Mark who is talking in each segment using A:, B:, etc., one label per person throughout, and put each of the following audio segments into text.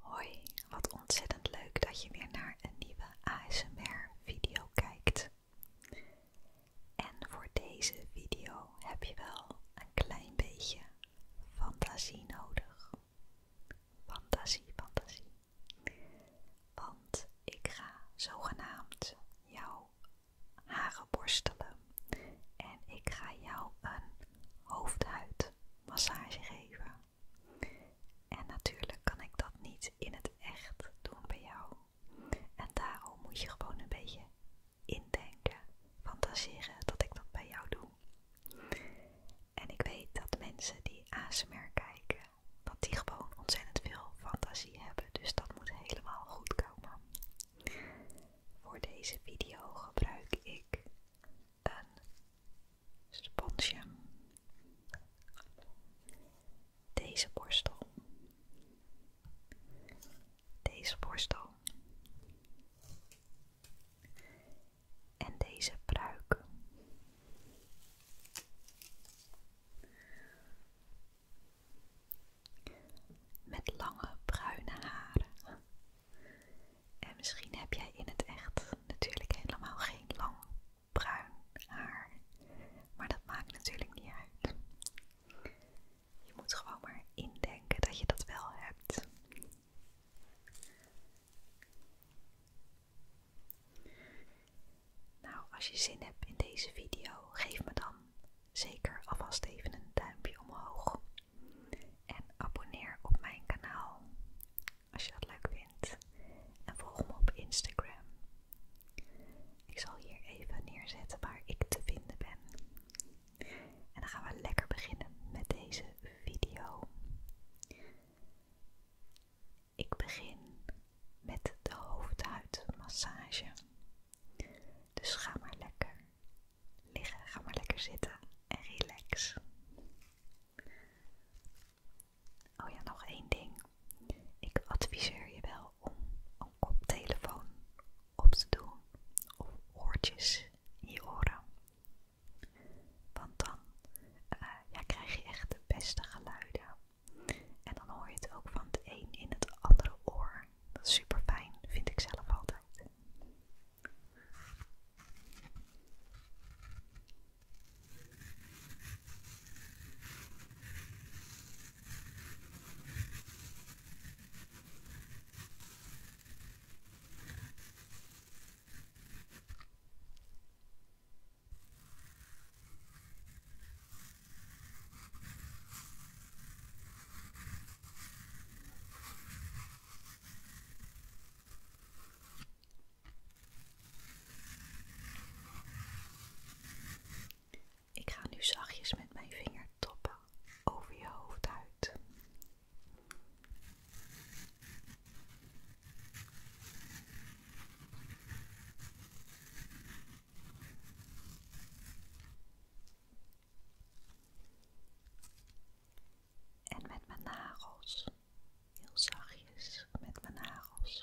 A: Hoi, wat ontzettend leuk dat je weer naar een nieuwe ASMR-video kijkt. En voor deze video heb je wel een klein beetje fantasie nodig. Fantasie, fantasie. Want ik ga zogenaamd jouw haren borstelen en ik ga jou een hoofdhuid massage geven. En natuurlijk kan ik dat niet in het echt doen bij jou. En daarom moet je gewoon een beetje indenken, fantaseren dat ik dat bij jou doe. En ik weet dat mensen die ASMR kijken, dat die gewoon ontzettend veel fantasie hebben. Dus dat moet helemaal goed komen. Voor deze video gebruik ik een sponsje. Deze borstel. Deze borstel. En deze pruik. Met lange bruine haren en misschien heb jij in het echt natuurlijk helemaal geen lang bruin haar. Maar dat maakt natuurlijk niet uit. Je moet gewoon maar indenken dat je dat wel hebt. Nou, als je zin hebt in deze video, geef me dan zeker alvast even een duimpje omhoog. En abonneer op mijn kanaal als je dat leuk vindt. En volg me op Instagram. Ik zal hier even neerzetten waar ik te vinden ben. En dan gaan we lekker beginnen met deze video. Ik begin met de hoofdhuidmassage. Dus ga maar lekker liggen. Ga maar lekker zitten en relax. Oh ja, nog één ding. Ik adviseer je wel om een koptelefoon op te doen of oortjes in je oren. Want dan eh, krijg je echt de beste geluiden. En dan hoor je het ook van het een in het andere oor. Dat is super fijn, vind ik zelf altijd. Ik ga nu zachtjes met mijn vingertoppen over je hoofd en met mijn nagels, heel zachtjes met mijn nagels.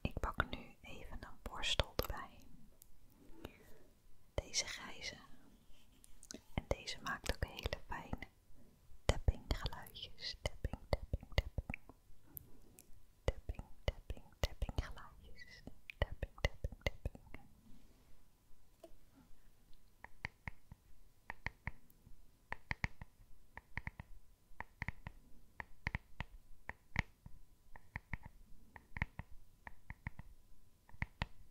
A: Ik pak nu even een borstel erbij. Deze grijze. En deze maakt ook hele fijne Tipping geluidjes, tipping, tipping, tipping. Tipping, tipping, tipping, geluidjes. Tapping, tapping, tapping.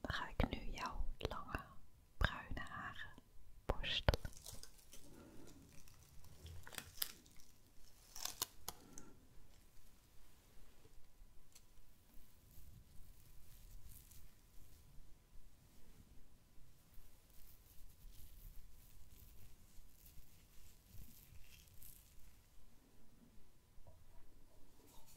A: Dan ga ik nu jouw lange bruine haren borstelen.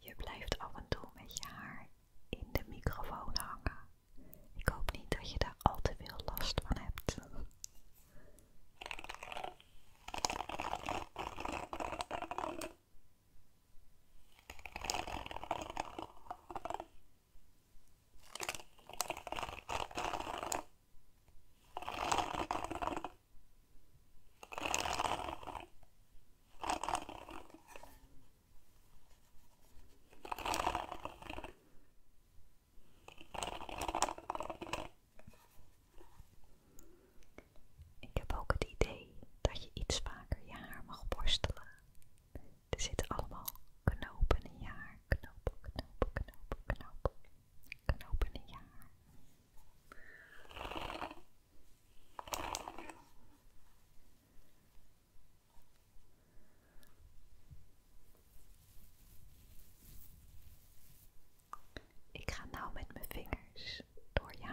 A: Je blijft af en toe met je haar in de microfoon hangen. Ik hoop niet dat je daar al te veel last van hebt. Ik heb ook het idee dat je iets vaker je haar mag borstelen. Er zitten allemaal knopen in je haar. Knopen, knopen, knopen, knopen. Knopen in je haar. Ik ga nou met mijn vingers door je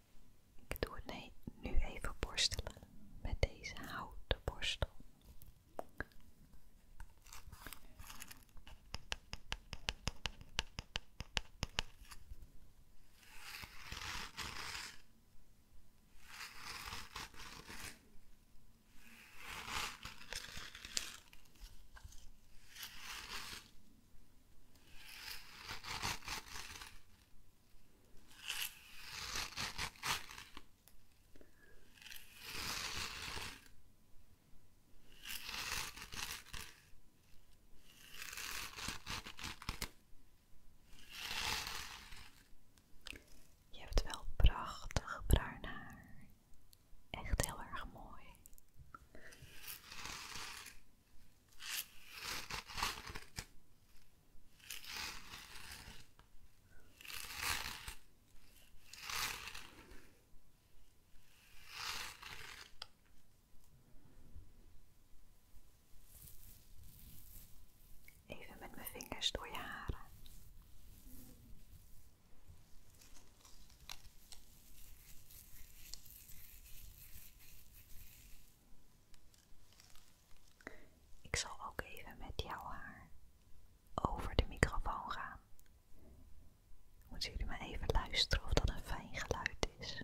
A: Ik doe het nu even borstelen met deze houten borstel. Je hebt wel prachtig bruin haar. Echt heel erg mooi. Even met mijn vingers door je haren. Ik zal ook even met jouw haar over de microfoon gaan. Moeten jullie maar even luisteren of dat een fijn geluid is.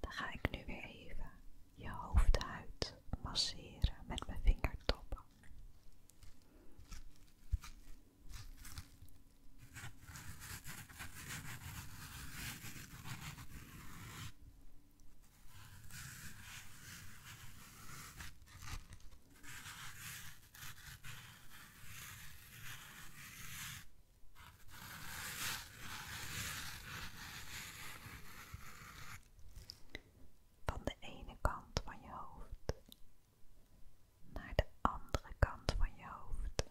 A: Dan ga ik nu weer even je hoofdhuid masseren met mijn vingertoppen. Van de ene kant van je hoofd naar de andere kant van je hoofd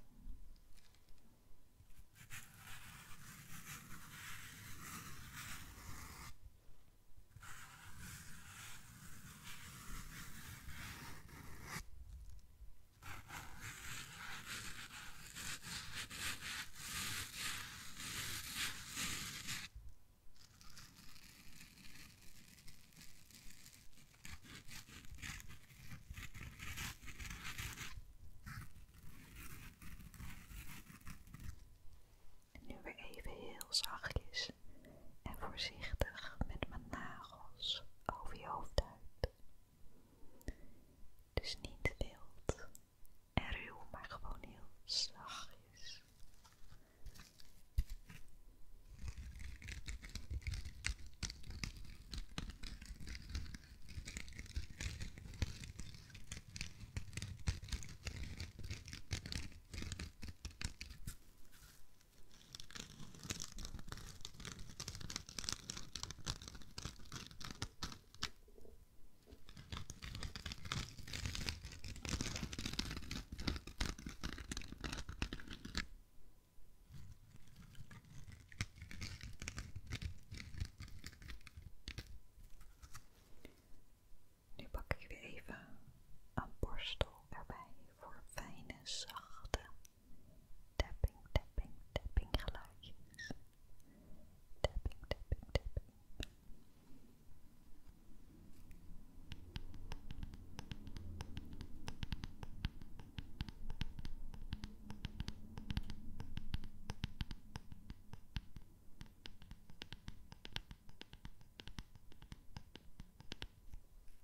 A: nu weer even heel zachtjes en voorzichtig met mijn nagels over je hoofd uit. Dus niet wild en ruw, maar gewoon heel zachtjes. Nu pak ik weer even een borstel erbij voor fijne, zachte tapping, tapping, tapping geluidjes. Tapping, tapping, tapping.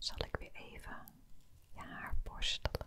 A: Zal ik weer even je haar borstelen?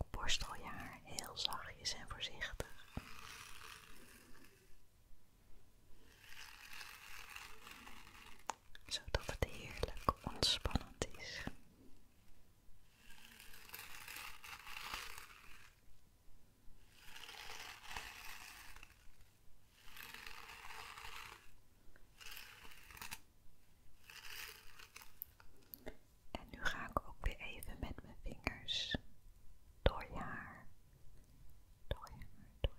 A: Ik borstel je haar heel zachtjes en voorzichtig. Zodat het heerlijk ontspannend is. En nu ga ik ook weer even met mijn vingers door jaar. haar. Door haar, door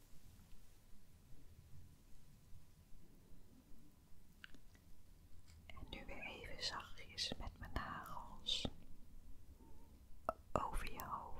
A: En nu weer even zachtjes met mijn nagels over je hoofd.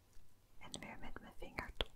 A: en weer met mijn vingertoppen.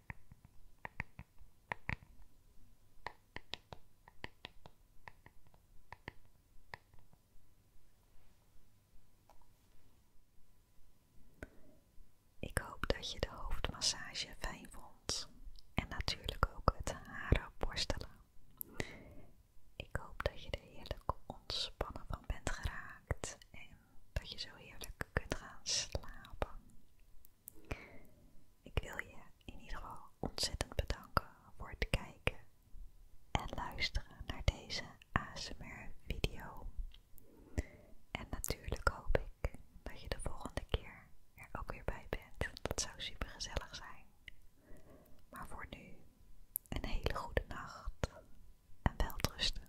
A: Ik hoop dat je de hoofdmassage fijn vond en natuurlijk ook het haren borstelen. Ik hoop dat je er heerlijk ontspannen van bent geraakt en dat je zo heerlijk kunt gaan slapen. Ik wil je in ieder geval ontzettend bedanken voor het kijken en luisteren naar deze ASMR-video. En natuurlijk hoop ik dat je de volgende keer er ook weer bij bent. Dat zou super gezellig zijn. Maar voor nu, een hele goede nacht en welterusten.